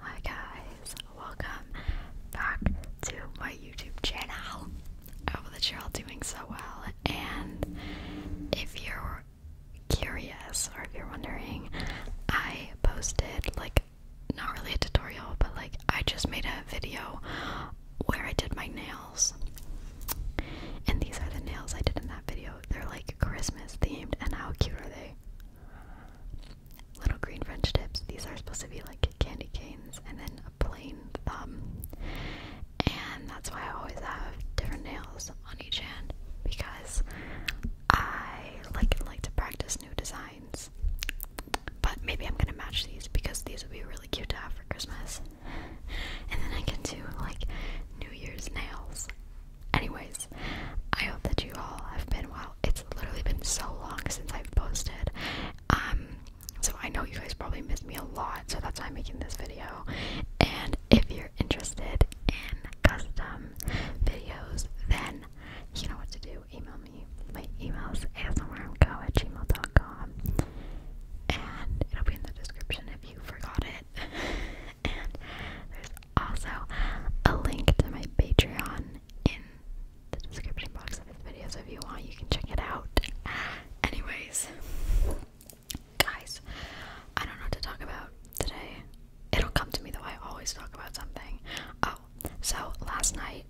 Hi guys, welcome back to my YouTube channel. I hope that you're all doing so well. And if you're curious or if you're wondering, I posted like not really a tutorial, but like I just made a video where I did my nails. And these are the nails I did in that video. They're like Christmas themed, and how cute are they? little green French tips. These are supposed to be like candy canes and then a plain thumb. And that's why I always have different nails on each hand because I like like to practice new designs. But maybe I'm gonna match these because these would be really cute to have for Christmas. And then I can do like New Year's nails Anyways, I hope that you all have been well. It's literally been so long since I've posted. Um, so I know you guys probably missed me a lot, so that's why I'm making this video. And if you're interested in custom videos, then you know what to do. Email me. My email is asmrmco at gmail.com. And it'll be in the description if you forgot it. and there's also a link to my Patreon in the description box of this video, so if you want, you can check it out. Anyways, guys, I don't know what to talk about today. It'll come to me though, I always talk about something. Oh, so last night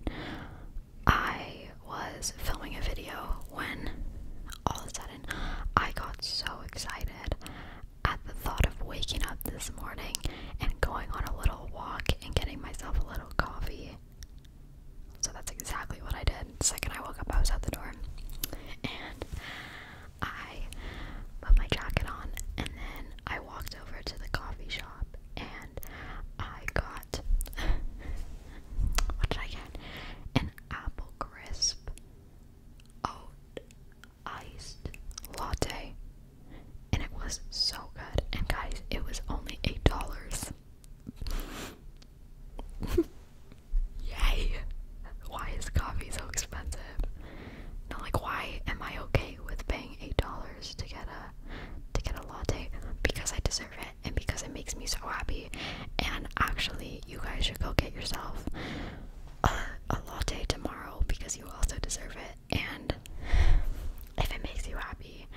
I was filming a video when all of a sudden I got so excited at the thought of waking up this morning and going on a little walk and getting myself a little coffee. So that's exactly what I did. second I woke up, I was out the door. And I put my jacket on and then I walked over to the coffee shop and I got what did I get? An apple crisp. Oh, iced latte, and it was so good. And guys, it was only eight dollars. Yay! Why is coffee so expensive? No, like why am I okay with paying eight dollars to get a to get a latte? Because I deserve it and because it makes me so happy. And actually you guys should go get yourself a latte tomorrow because you also deserve it. And if it makes you happy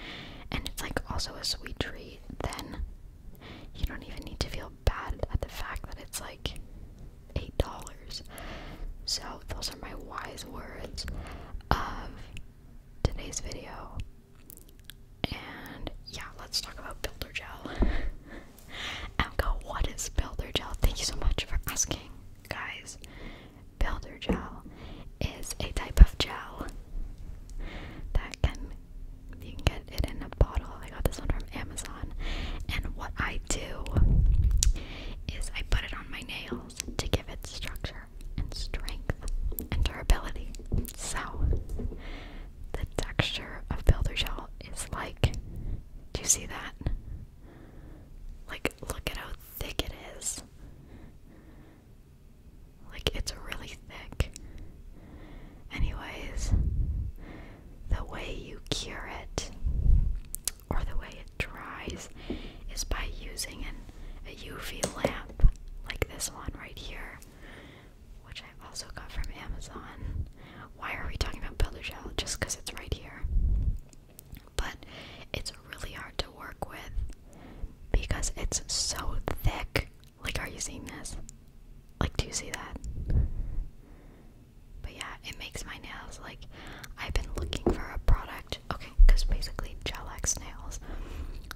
and it's like also a sweet treat, then you don't even need to feel bad at the fact that it's like eight dollars. So, those are my wise words of today's video. And yeah, let's talk about builder gel. Emka, what is builder gel? Thank you so much for asking, guys. Builder gel is a type of gel that can you can get it in a bottle. I got this one from Amazon. And what I do is I put it on my nails to give it structure and strength and durability. So the texture of builder gel is like do you see that? Like look at how thick it is. Like it's really thick. Anyways, the way you cure it or the way it dries is by using a UV lamp like this one right here which I also got from Amazon. Why are we talking about builder gel? Just because it's right here. But it's really hard to work with because it's so thick. Like, are you seeing this? Like, do you see that? But yeah, it makes my nails like I've been looking for a product. Okay, because basically, gel X nails,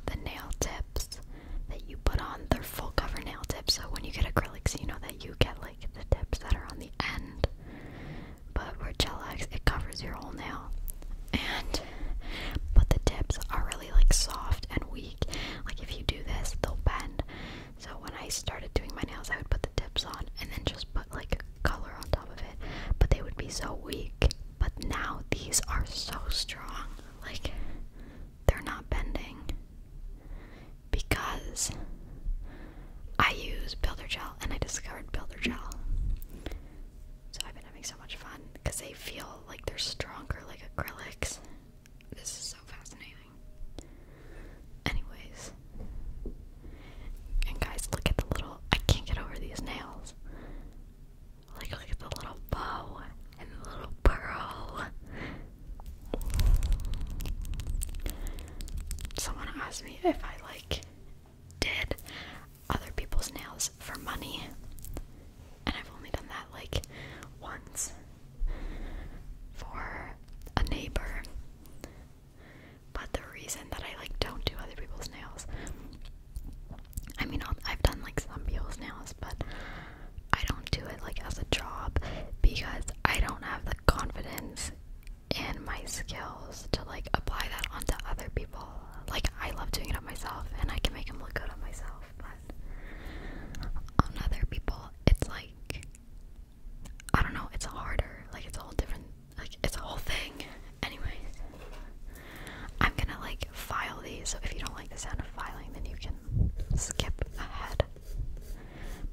the nail tips that you put on, they're full cover nail tips. So when you get acrylics, you know that you get like the tips that are on the end. But with gel it covers your whole nail. And but the tips are really like soft and weak. Like if you do this, they'll bend. So when I started doing my nails, I would put the tips on and then just put like color on top of it. But they would be so weak. But now these are so strong. Like they're not bending because I use builder gel and I discovered builder gel. So I've been having so much fun because they feel like they're stronger like acrylics. This is so fascinating. Anyways. And guys, look at the little I can't get over these nails. Like, look at the little bow and the little pearl. Someone asked me if I like did other people's nails for money, and I've only done that like once for a neighbor. But the reason that I like don't do other people's nails I mean, I've done like some people's nails, but I don't do it like as a job because I don't have the confidence in my skills to like apply that onto other people. Like, I love doing it on myself and I can make them look good on myself, but on other people, it's like I don't know, it's harder. Like, it's a different, like, it's a whole thing. Anyways, I'm gonna like file these, so if you don't like the sound of filing, then you can skip ahead.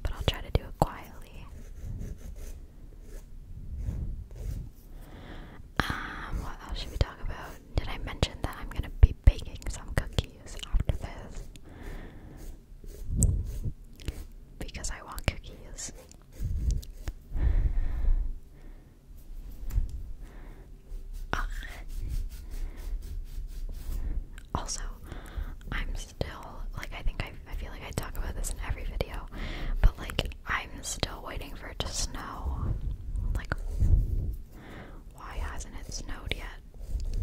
But I'll try to do it quietly. Um, what else should we talk about? Did I mention that I'm gonna be baking some cookies after this? Because I want cookies also, I'm still like I think I, I feel like I talk about this in every video, but like I'm still waiting for it to snow. Like, why hasn't it snowed yet?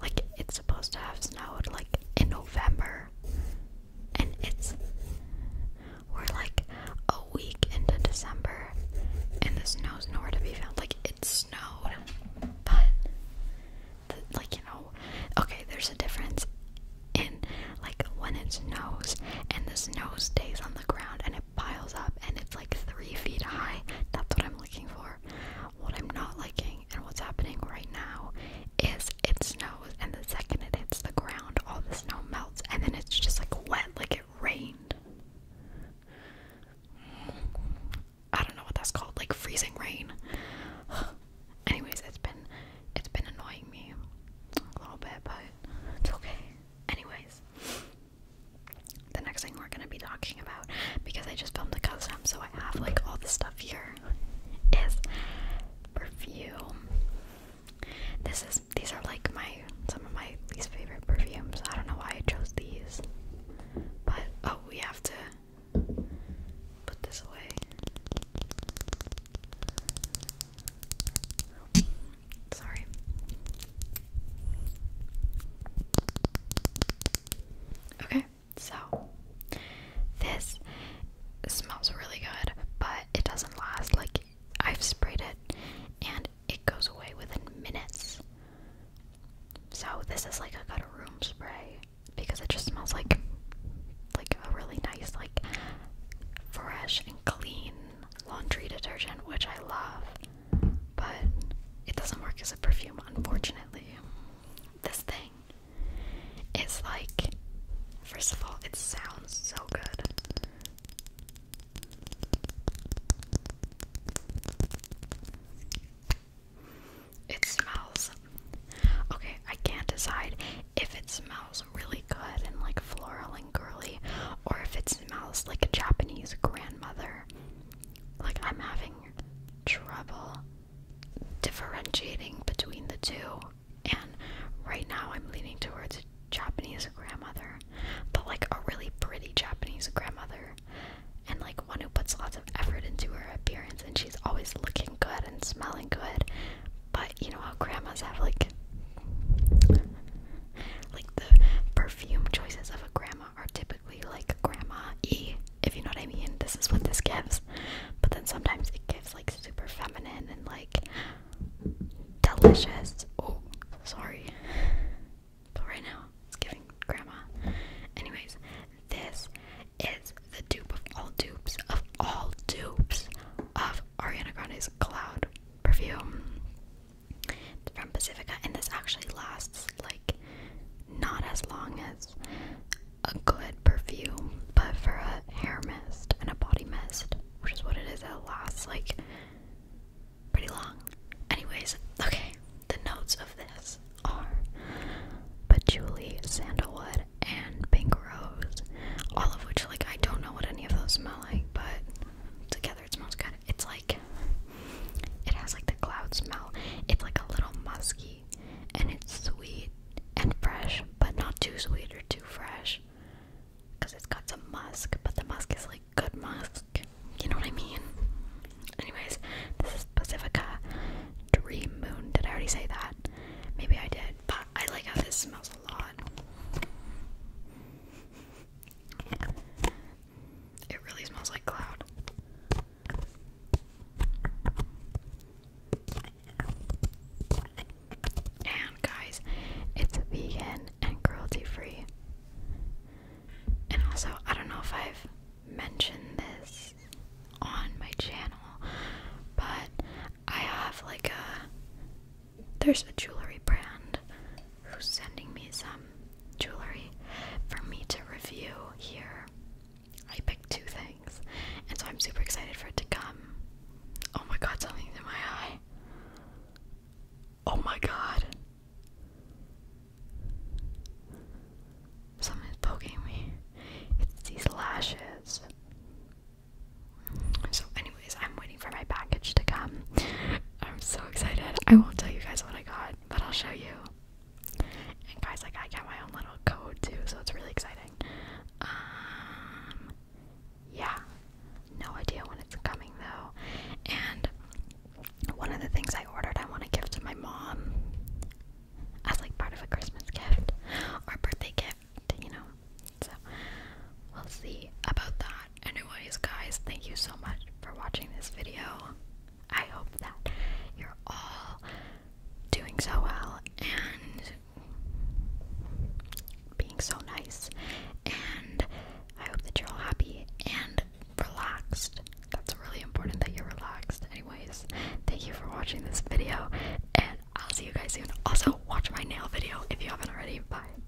Like, it's supposed to have snowed like in November, and it's we're like a week into December, and the snow's nowhere to be found. Like it snowed, but like you know, okay, there's a difference in like when it snows and the snow stays on the ground and it piles up and it's like three feet high. That's what I'm looking for. What I'm not liking and what's happening right now is because it snows, and the second it hits the ground, all the snow melts, and then it's just like wet, like it rained. I don't know what that's called, like freezing rain. Anyways, it's been it's been annoying me a little bit, but it's okay. Anyways, the next thing we're gonna be talking about because I just filmed a custom, so I have like all the stuff here is perfume. This is these are like my some of my least favorite perfumes. I don't know why I chose these. But oh we have to put this away. Sorry. Okay. So, this smells really good, but it doesn't last. Like, I've sprayed it and it goes away within minutes. So, this is like a good room spray because it just smells like like a really nice like fresh and clean laundry detergent which I love but it doesn't work as a perfume unfortunately this thing is like, first of all, it sounds so good. It smells. Okay, I can't decide if it smells really good and like floral and girly, or if it smells like a Japanese grandmother. Like, I'm having trouble differentiating between the two. And right now I'm leaning towards a Japanese grandmother, but like a really pretty Japanese grandmother. And like one who puts lots of effort into her appearance and she's always looking good and smelling good. But you know how grandmas have like like the perfume choices of a grandma are typically like grandma E, if you know what I mean. This is what this gives. But then sometimes it gives like super feminine and like delicious. Oh, sorry. But right now, it's giving grandma. Anyways, this is the dupe of all dupes of all dupes of Ariana Grande's Cloud perfume from Pacifica, and this actually lasts like not as long as a good perfume, but for a hair mist and a body mist, which is what it is, it lasts like pretty long. Anyways, okay, the notes of this are patchouli, sandalwood, and pink rose, all of which, like, I don't know what any of those smell like, but together it smells kind It's like it has like the cloud smell. It's like a little musky, and it's sweet and fresh, but not too sweet or too fresh, because it's got some musk. But the musk is like good musk. You know what I mean? Anyways, this is Pacifica Dream Moon. Did I already say that? Maybe I did, but I like how this smells a lot. It really smells like cloud. And guys, it's vegan and cruelty free. And also, I don't know if I've mentioned this on my channel, but I have like a there's a jewelry brand who's sending me some jewelry for me to review here. I picked two things, and so I'm super excited for it to come. Oh my god, something's in my eye. Oh my god. Something's poking me. It's these lashes. So, anyways, I'm for my package to come. I'm so excited. I won't tell you guys what I got, but I'll show you. And guys, like I got my own little code too, so it's really exciting. Um, yeah, no idea when it's coming though. And one of the things I ordered, I want to give to my mom as like part of a Christmas gift or birthday gift, you know. So we'll see about that. Anyways, guys, thank you so much for watching this video. I hope that you're all doing so well and being so nice. And I hope that you're all happy and relaxed. That's really important that you're relaxed. Anyways, thank you for watching this video, and I'll see you guys soon. Also, watch my nail video if you haven't already. Bye.